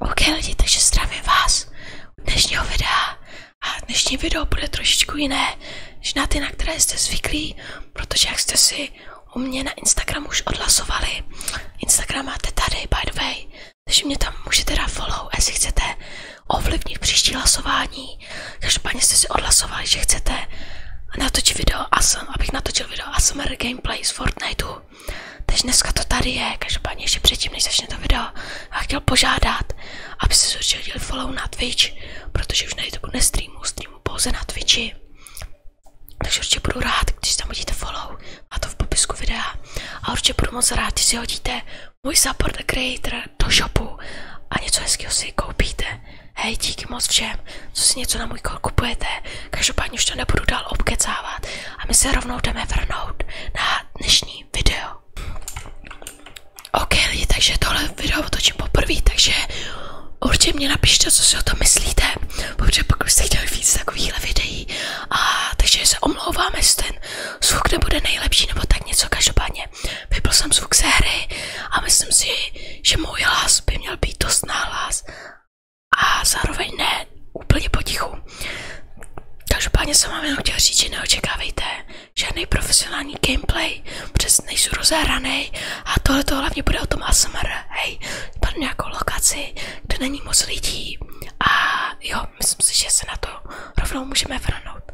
OK lidi, takže zdravím vás u dnešního a dnešní video bude trošičku jiné než na ty, na které jste zvyklí, protože jak jste si u mě na Instagramu už odhlasovali, Instagram máte tady by the way, takže mě tam můžete dát follow, jestli chcete ovlivnit příští hlasování. Každopádně jste si odhlasovali, že chcete natočit video ASM, abych natočil video ASMR gameplay z Fortniteu. Takže dneska to tady je, každopádně ještě předtím, než začne to video, a chtěl požádat, aby se určitě follow na Twitch, protože už na YouTube nestreamu, streamu pouze na Twitchi. Takže určitě budu rád, když tam hodíte follow a to v popisku videa. A určitě budu moc rád, když si hodíte můj support the creator do shopu a něco hezkého si koupíte. Hej, díky moc všem, co si něco na můj kol kupujete. Každopádně už to nebudu dál obkecávat a my se rovnou jdeme vrnout na dnešní video. OK lidi, takže tohle video otočím poprvé, takže určitě mě napište, co si o tom myslíte, protože pokud jste chtěli víc takovýchhle videí. A takže se omlouvám, jestli ten zvuk nebude nejlepší nebo tak něco, každopádně vypl jsem zvuk z hry a myslím si, že můj hlas by měl být dost náhlas a zároveň ne úplně potichu. Každopádně jsem vám jenom chtěl říct, že neočekávejte žádný profesionální gameplay, přes nejsou rozehraný a tohle to hlavně bude o tom ASMR, hej, padne nějakou lokaci, kde není moc lidí a jo, myslím si, že se na to rovnou můžeme vrhnout.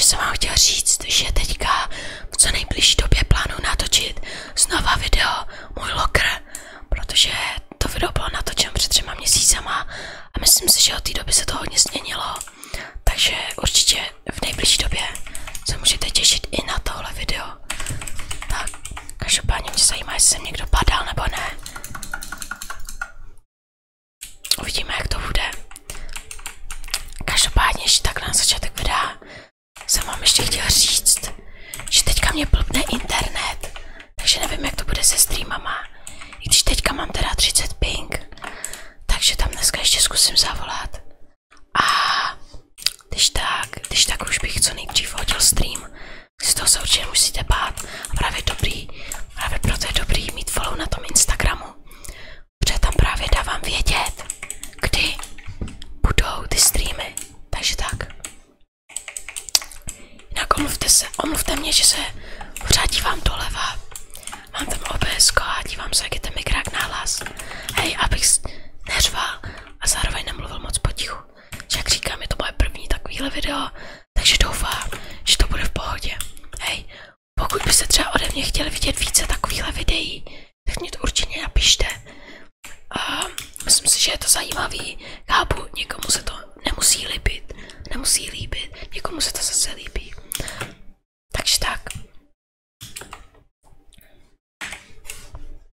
Že jsem vám chtěl říct, že teďka v co nejbližší době plánu natočit znova video Můj lokr, protože to video bylo natočeno před třema měsícema a myslím si, že od té doby se to hodně změnilo. Takže určitě v nejbližší době se můžete těšit i na tohle video. Tak, každopádně mě zajímá, jestli jsem někdo padal nebo ne. Uvidíme, jak to bude. Každopádně, že tak na začátek videa jsem vám ještě chtěla říct, že teďka mě blbne internet, takže nevím, jak to bude se streamama. I když teďka mám teda 30 ping, takže tam dneska ještě zkusím zavolat. A když tak, když tak už bych co nejdřív hodil stream, z toho se určitě musíte bát. A právě dobrý, právě proto je dobrý mít follow na tom Instagramu. Protože tam právě dávám vědět, kdy budou ty streamy. Takže tak. Jinak omluvte se, omluvte mě, že se pořád dívám doleva. Mám tam OBS a dívám se, jak je ten mikrák náhlas. Hej, abych neřval a zároveň nemluvil moc potichu. Jak říkám, je to moje první takovýhle video, takže doufám, že to bude v pohodě. Hej, pokud byste třeba ode mě chtěli vidět více takovýchhle videí, tak mě to určitě napište. A myslím si, že je to zajímavý. Chápu, někomu se to nemusí líbit, nemusí líbit, někomu se to zase líbí. Takže tak.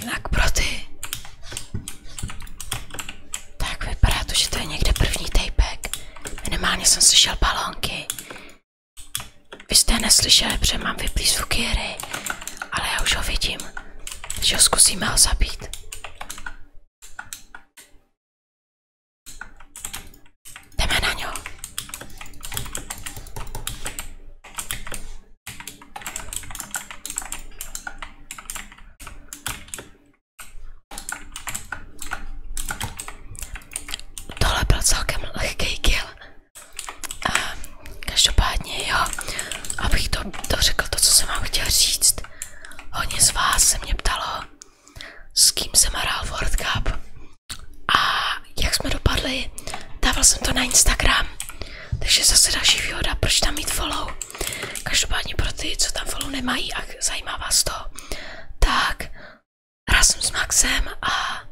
Jinak pro ty. Tak vypadá to, že to je někde první tejpek. Minimálně jsem slyšel balónky. Vy jste je neslyšeli, protože mám vyplý zvuky ale já už ho vidím. Takže ho zkusíme ho zabít. Jdeme na ňo. Tohle byl celkem lehký kill. A každopádně jo, abych to, to řekl to, co jsem vám chtěl říct. Hodně z vás se mě ptalo, s kým jsem hrál World Cup. A jak jsme dopadli, dával jsem to na Instagram, takže zase další výhoda, proč tam mít follow. Každopádně pro ty, co tam follow nemají a zajímá vás to, tak hrál jsem s Maxem a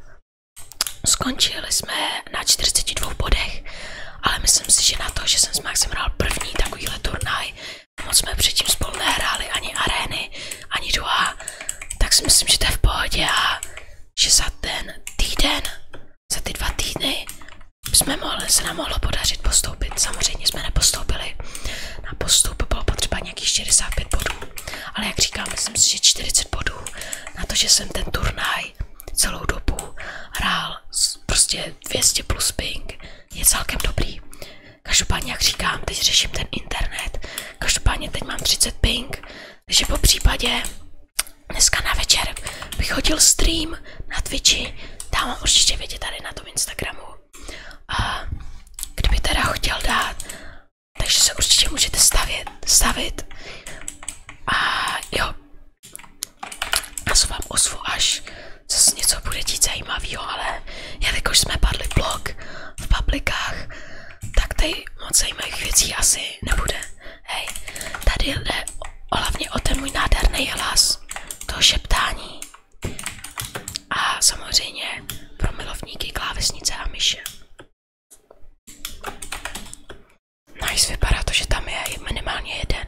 skončili jsme na 42 bodech, ale myslím si, že na to, že jsem s Maxem hrál první takovýhle turnaj, moc jsme předtím spolu nehráli ani arény, ani druhá, tak si myslím, že to je v pohodě a že za ten týden, za ty dva týdny jsme mohli, se nám mohlo podařit postoupit. Samozřejmě jsme nepostoupili. Na postup bylo potřeba nějakých 45 bodů, ale jak říkám, myslím si, že 40 bodů na to, že jsem ten turnaj celou dobu hrál prostě 200 plus ping, je celkem dobrý. Každopádně, jak říkám, teď řeším ten internet. Každopádně teď mám 30 ping, takže po případě dneska na večer bych chodil stream na Twitchi, dám vám určitě vědět tady na tom Instagramu. A kdyby teda chtěl dát, takže se určitě můžete stavit, stavit. A jo, já se vám ozvu, až zase něco bude dít zajímavého, ale jelikož jsme padli blog v paplikách, tak tady moc zajímavých věcí asi nebude. Hej, tady jde hlavně o ten můj nádherný hlas, to šeptání. A samozřejmě pro milovníky klávesnice a myše. Nice, vypadá to, že tam je minimálně jeden.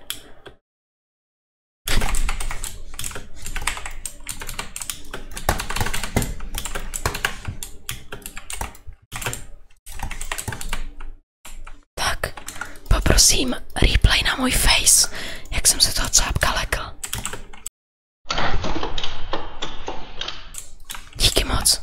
Tak, poprosím replay na můj face, jak jsem se toho cápka lekl. Díky moc.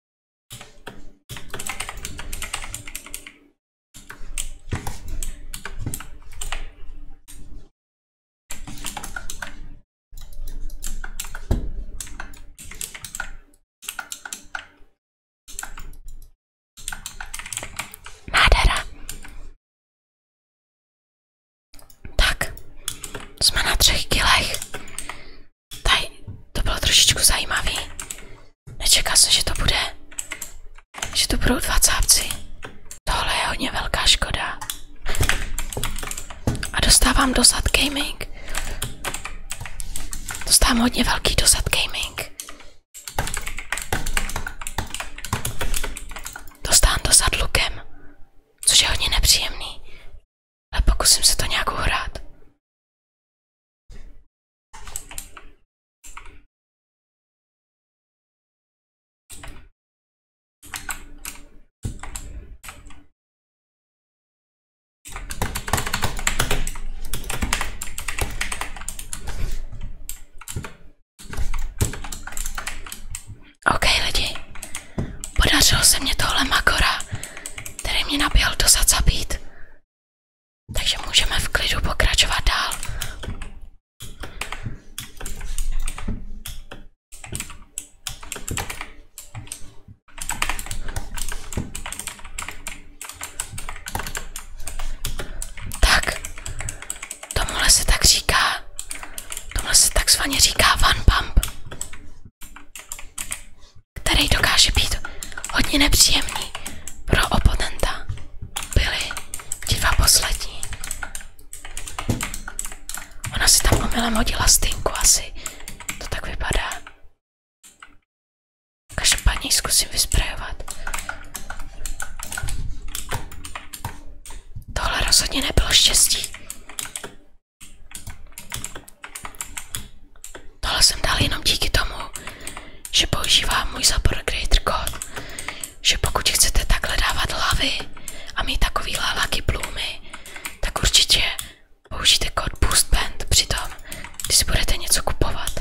Nádhera. Tak, jsme na třech kilech. Tady, to bylo trošičku zajímavý. Nečekal jsem, že to bude, že to budou dva cápci. Tohle je hodně velká škoda. A dostávám dosad gaming. Dostávám hodně velký dosad gaming. Dostávám což je hodně nepříjemný. A pokusím se to nějak uhrát. OK lidi, podařilo se mě tohle makora který mě do zad zabít. Takže můžeme v klidu pokračovat dál. Tak, tomuhle se tak říká, tomuhle se takzvaně říká one pump který dokáže být hodně nepříjemný pro oponenta, byli ti dva poslední. Ona si tam omylem hodila stinku asi, to tak vypadá. Každopádně zkusím vysprejovat. Tohle rozhodně nebylo štěstí. Tohle jsem dal jenom díky tomu, že používám můj zabor creator God, že pokud chcete takhle dávat hlavy a mít takový laky plumy, tak určitě použijte kód band při tom, když si budete něco kupovat.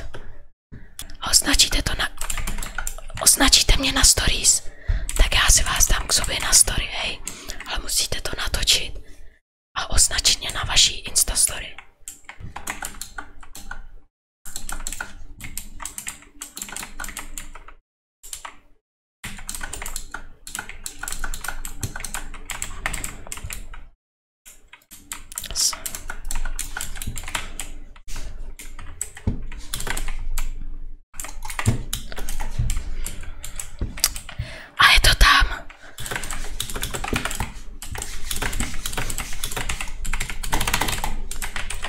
A označíte to na... Označíte mě na stories, tak já si vás dám k sobě na story, hej. Ale musíte to natočit a označeně na vaší Instastory. A je to tam.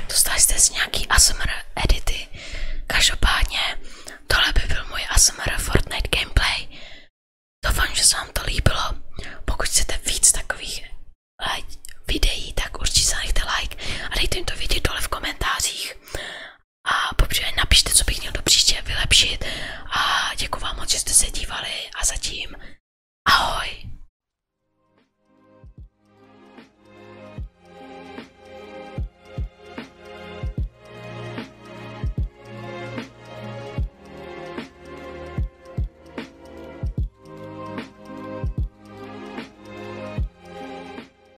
Dostali jste si nějaký ASMR edity. Každopádně, tohle by byl můj ASMR Fortnite gameplay. Doufám, že se vám to líbilo. Pokud chcete víc takových eh, videí, tak určitě zanechte like a dejte mi to vědět dole v komentářích a popřípadě napište, co bych měl do příště vylepšit a děkuji vám moc, že jste se dívali a zatím ahoj!